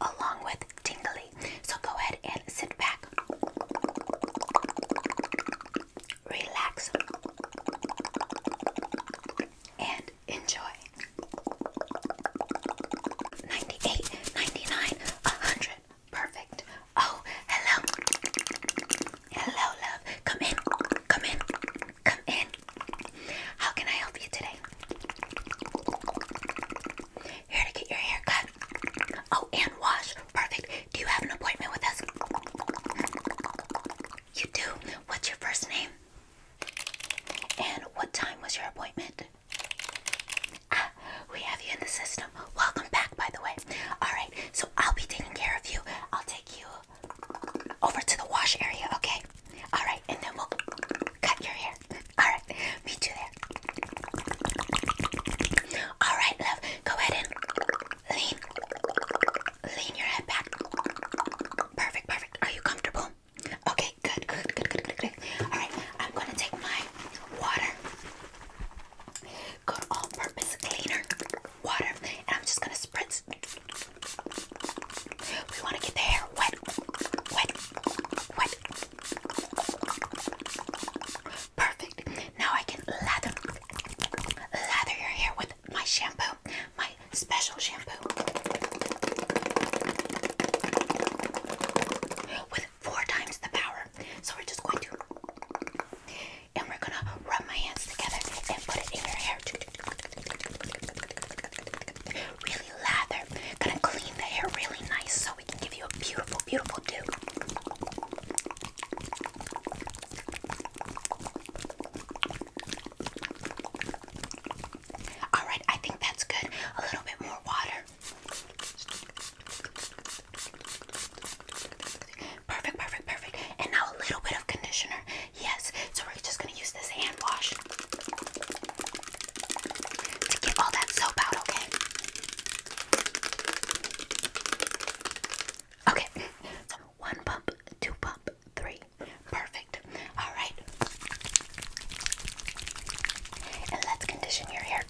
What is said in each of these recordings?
along with tingly. So go ahead and sit back, relax, and enjoy. Ninety-eight, ninety-nine, a 100. Perfect. Oh, hello. Hello, love. Come in. Come in. Come in. How can I help you today? Here to get your hair cut. Oh, and wash. Perfect. Do you have an appointment with us? You do. What's your first name? And what time was your appointment? Ah, we have you in the system. Welcome back, by the way. Alright, so I'll be taking care of you. I'll take you over to the wash area, okay? Alright, and then we'll Cut your hair. Alright, me too there. Alright, love, go ahead and lean. Lean your head back. Perfect, perfect. Are you comfortable? Okay, good, good, good, good, good, good. Alright, I'm gonna take my water. Good all purpose cleaner water. And I'm just gonna spritz. We wanna get the hair wet, wet, wet, Perfect. Now I can lather, lather your hair with my shampoo, my special shampoo, with four times the power. So we're just going to, and we're gonna rub my hands together and put it in your hair really lather. Gonna clean the hair really nice so we can give you a beautiful, beautiful do. Alright, I think that's good. A little bit more water. Perfect, perfect, perfect. And now a little bit of conditioner. Yes, so we're just gonna use this hand wash to get all that soap out, okay? Okay, so one pump, two pump, three. Perfect. All right. And let's condition your hair.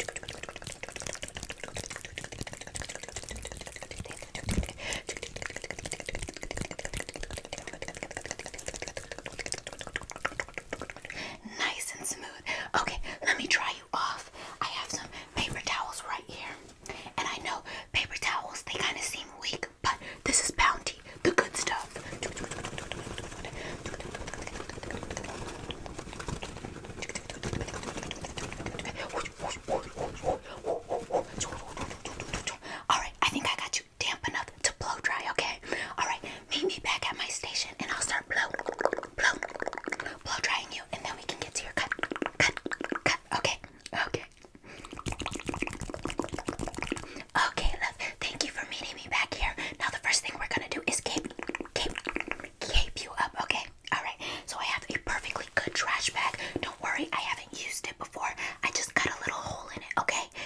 Nice and smooth. Okay, let me dry you off. I have some paper towels right here. And I know paper towels, they kind of seem weak, but this is bounty, the good stuff. Alright, I think I got you damp enough to blow dry, okay? Alright, meet me back at my station and I'll start blow, blow, blow drying you and then we can get to your cut, cut, cut, okay? Okay. Okay, love, thank you for meeting me back here. Now the first thing we're gonna do is keep, keep, keep you up, okay? Alright, so I have a perfectly good trash bag. Don't worry, I haven't used it before. I just cut a little hole in it, okay?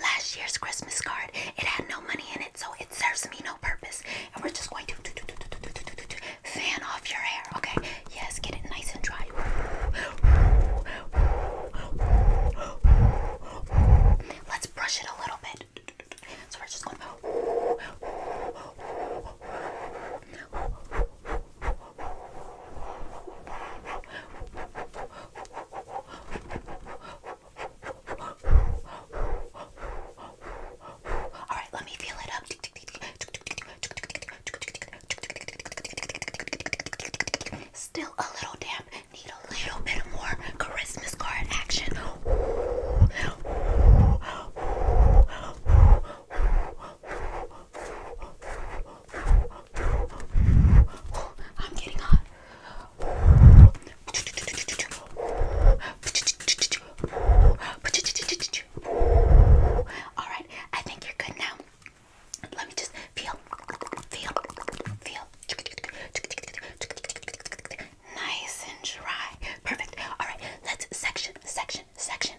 Last year's Christmas card, it had no money in it, so it serves me no purpose. And we're just going to fan off your hair, okay? Yes, get it nice and dry. Let's brush it a little bit. So we're just going. All right, let me feel it up. Still a little damp. Need a little bit more Christmas card action. Oh, I'm getting hot. Alright, I think you're good now. Let me just feel, feel, feel. Nice and dry. Perfect. Alright, let's section, section, section,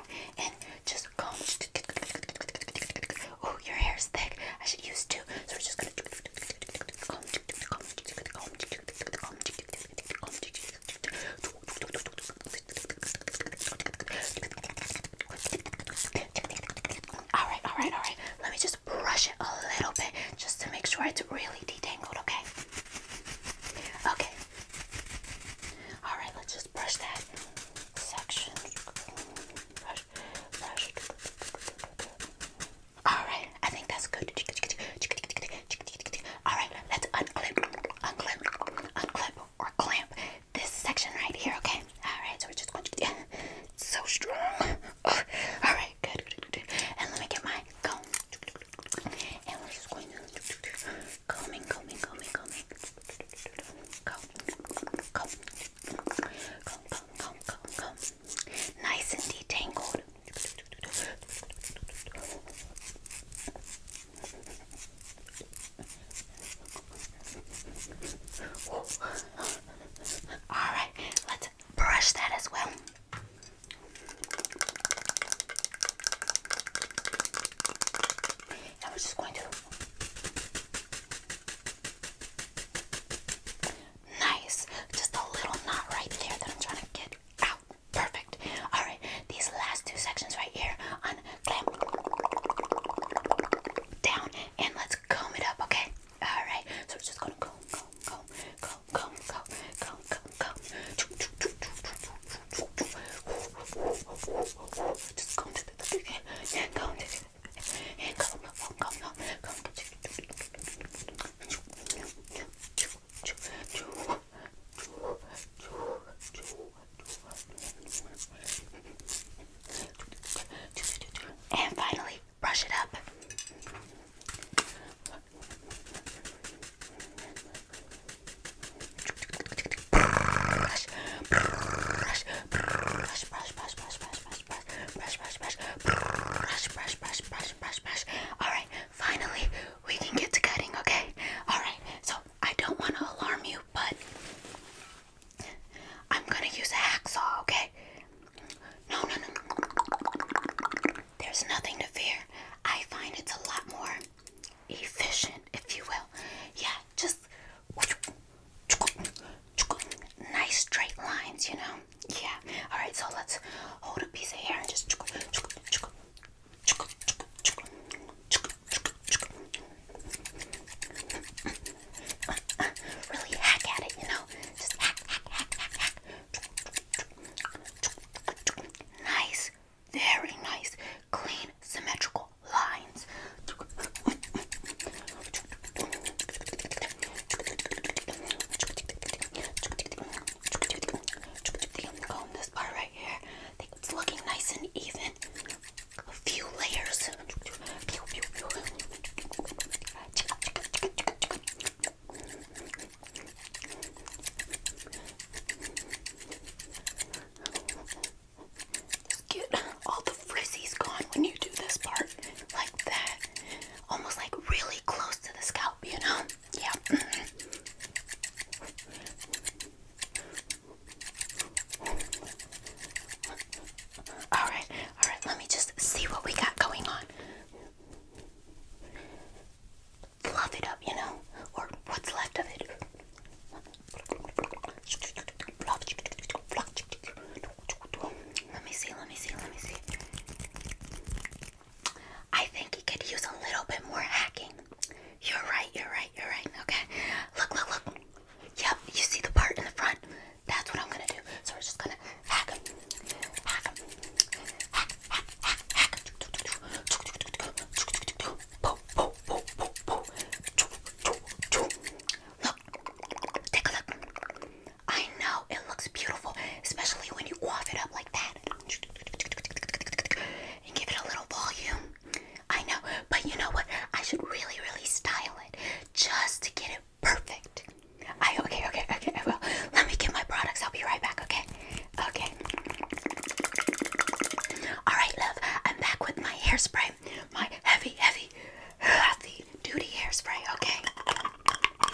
and just comb. Oh, your hair is thick. I should use two. So we're just gonna All right, all right, all right. Let me just brush it a little bit just to make sure it's really detangled, okay? Okay. All right, let's just brush that section. Brush, brush. All right, I think that's good. All right, let's unclip, unclip, unclip, or clamp this section right here. Okay. All right, so we're just going to. Yeah, so strong. Oh, all right, good, good, good. And let me get my comb. And we're just going combing, combing, combing, combing. Comb, comb, comb, comb, comb, comb. Nice and detangled. All right, let's brush that as well. And we just going to nice, just a little knot right there that I'm trying to get out. Perfect. All right, these last two sections right here, unclamp down, and let's comb it up. Okay. All right. So we're just gonna comb, comb, comb, comb, comb, comb, go, go. Just come to the and come to the and come, come, come, come, come. And finally, brush it up brush, brush, brush, brush, brush, brush, brush, brush, brush, brush, brush, brush, brush, brush, brush, brush, brush. Alright, finally we can get to cutting, okay? Alright, so I don't want to alarm you, but I'm gonna use a hacksaw, okay? No, no, no. There's nothing to fear. I find it's a lot more efficient, if you will. Yeah, just nice straight lines, you know? Yeah. Alright, so let's hold a piece of hair and just. Really hack at it, you know? Just hack, hack, hack, hack, hack. Nice very nice, clean, symmetrical lines. this part right here. it's looking nice and even. A few layers get all the frizzies gone when you do this part, like that. Almost like really close to the scalp, you know? Yeah. Mm-hmm. All right, all right, let me just see what we got going on fluff it up, you know, or what's left of it. Let me see, let me see, let me see. I think he could use a little bit more hacking. You're right, you're right, you're right. Okay. Look, look, look. Yep, you see the part in the front? That's what I'm gonna do. So we're just gonna hack Hack Look, take a look. I know it looks beautiful, especially when you quaff it up like that and give it a little volume. I know, but you know what? I should really, really style it just to get it perfect. I okay, okay, okay. I will. Let me get my products. I'll be right back. Okay. Okay. Alright, love, I'm back with my hairspray. My heavy, heavy, heavy duty hairspray, okay?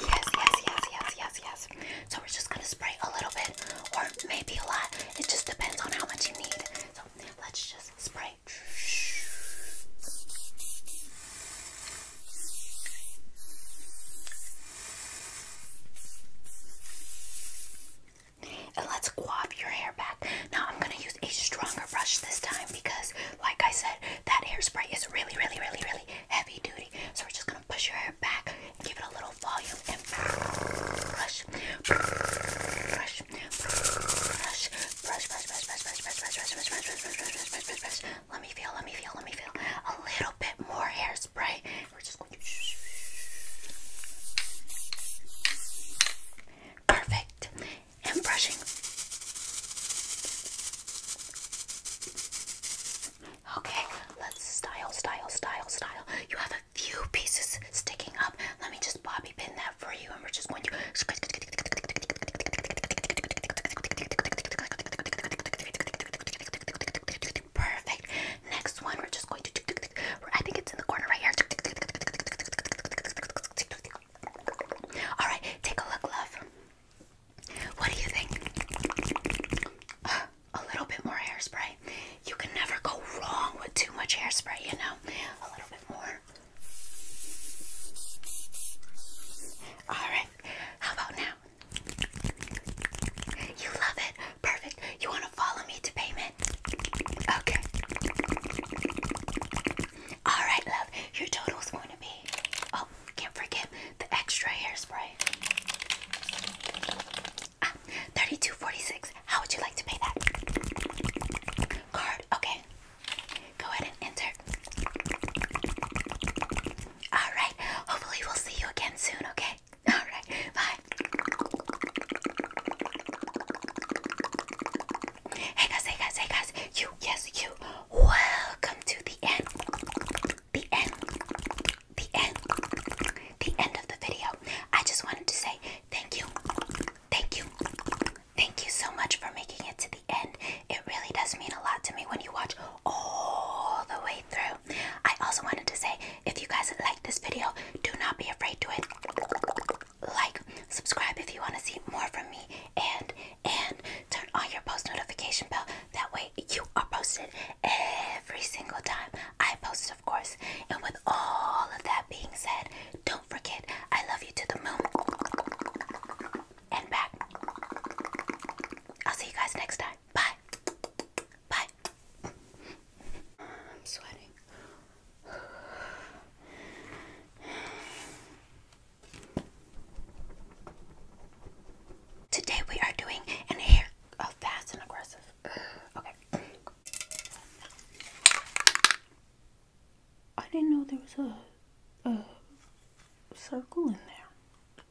Yes, yes, yes, yes, yes, yes. So we're just gonna spray a little bit or maybe a lot. It just depends on how much you need. So let's just spray let's quaff your hair back. Now I'm gonna use a stronger brush this time because, like I said, that hairspray is really, really, really, really heavy duty. So we're just gonna push your hair back and give it a little volume and brush, brush, brush, brush, brush, brush, brush, brush, brush, brush, brush, brush, brush, brush, brush, brush, brush, brush. Let me feel, let me feel, let me feel a little bit more hairspray. We're just perfect and brushing. Okay, let's style, style, style, style. You have a few pieces sticking up. Let me just bobby pin that for you, and we're just going to perfect. Next one, we're just going to. I think it's in the corner right here. All right, take a look, love. What do you think? a little bit more hairspray. You can never go wrong with too much hairspray, you know. A little bit more. All right. How about now? You love it. Perfect. You want to follow me to payment? Okay. All right, love. Your total is going to be. Oh, can't forget the extra hairspray. Ah, thirty-two forty-six. How would you like to pay that? Card. Okay. Go ahead and enter. All right. Hopefully, we'll see you again soon. Okay. Alright, bye. Hey guys, hey guys, hey guys, you, yes, you. Welcome to the end. The end. The end. The end of the video. I just wanted to say thank you. Thank you. Thank you so much for making it to the end. It really does mean a lot to me when you watch all the way through. I also wanted to say if you guys like this video, do not be afraid to it. Like, subscribe if you want to see more from me, and and turn on your post notification bell. That way you are posted every single time I post, of course. And with all of that being said, don't forget I love you to the moon and back. I'll see you guys next time bye, bye. I'm sweating. Today we are doing an hair oh, fast and aggressive. Okay. I didn't know there was a, a circle in there.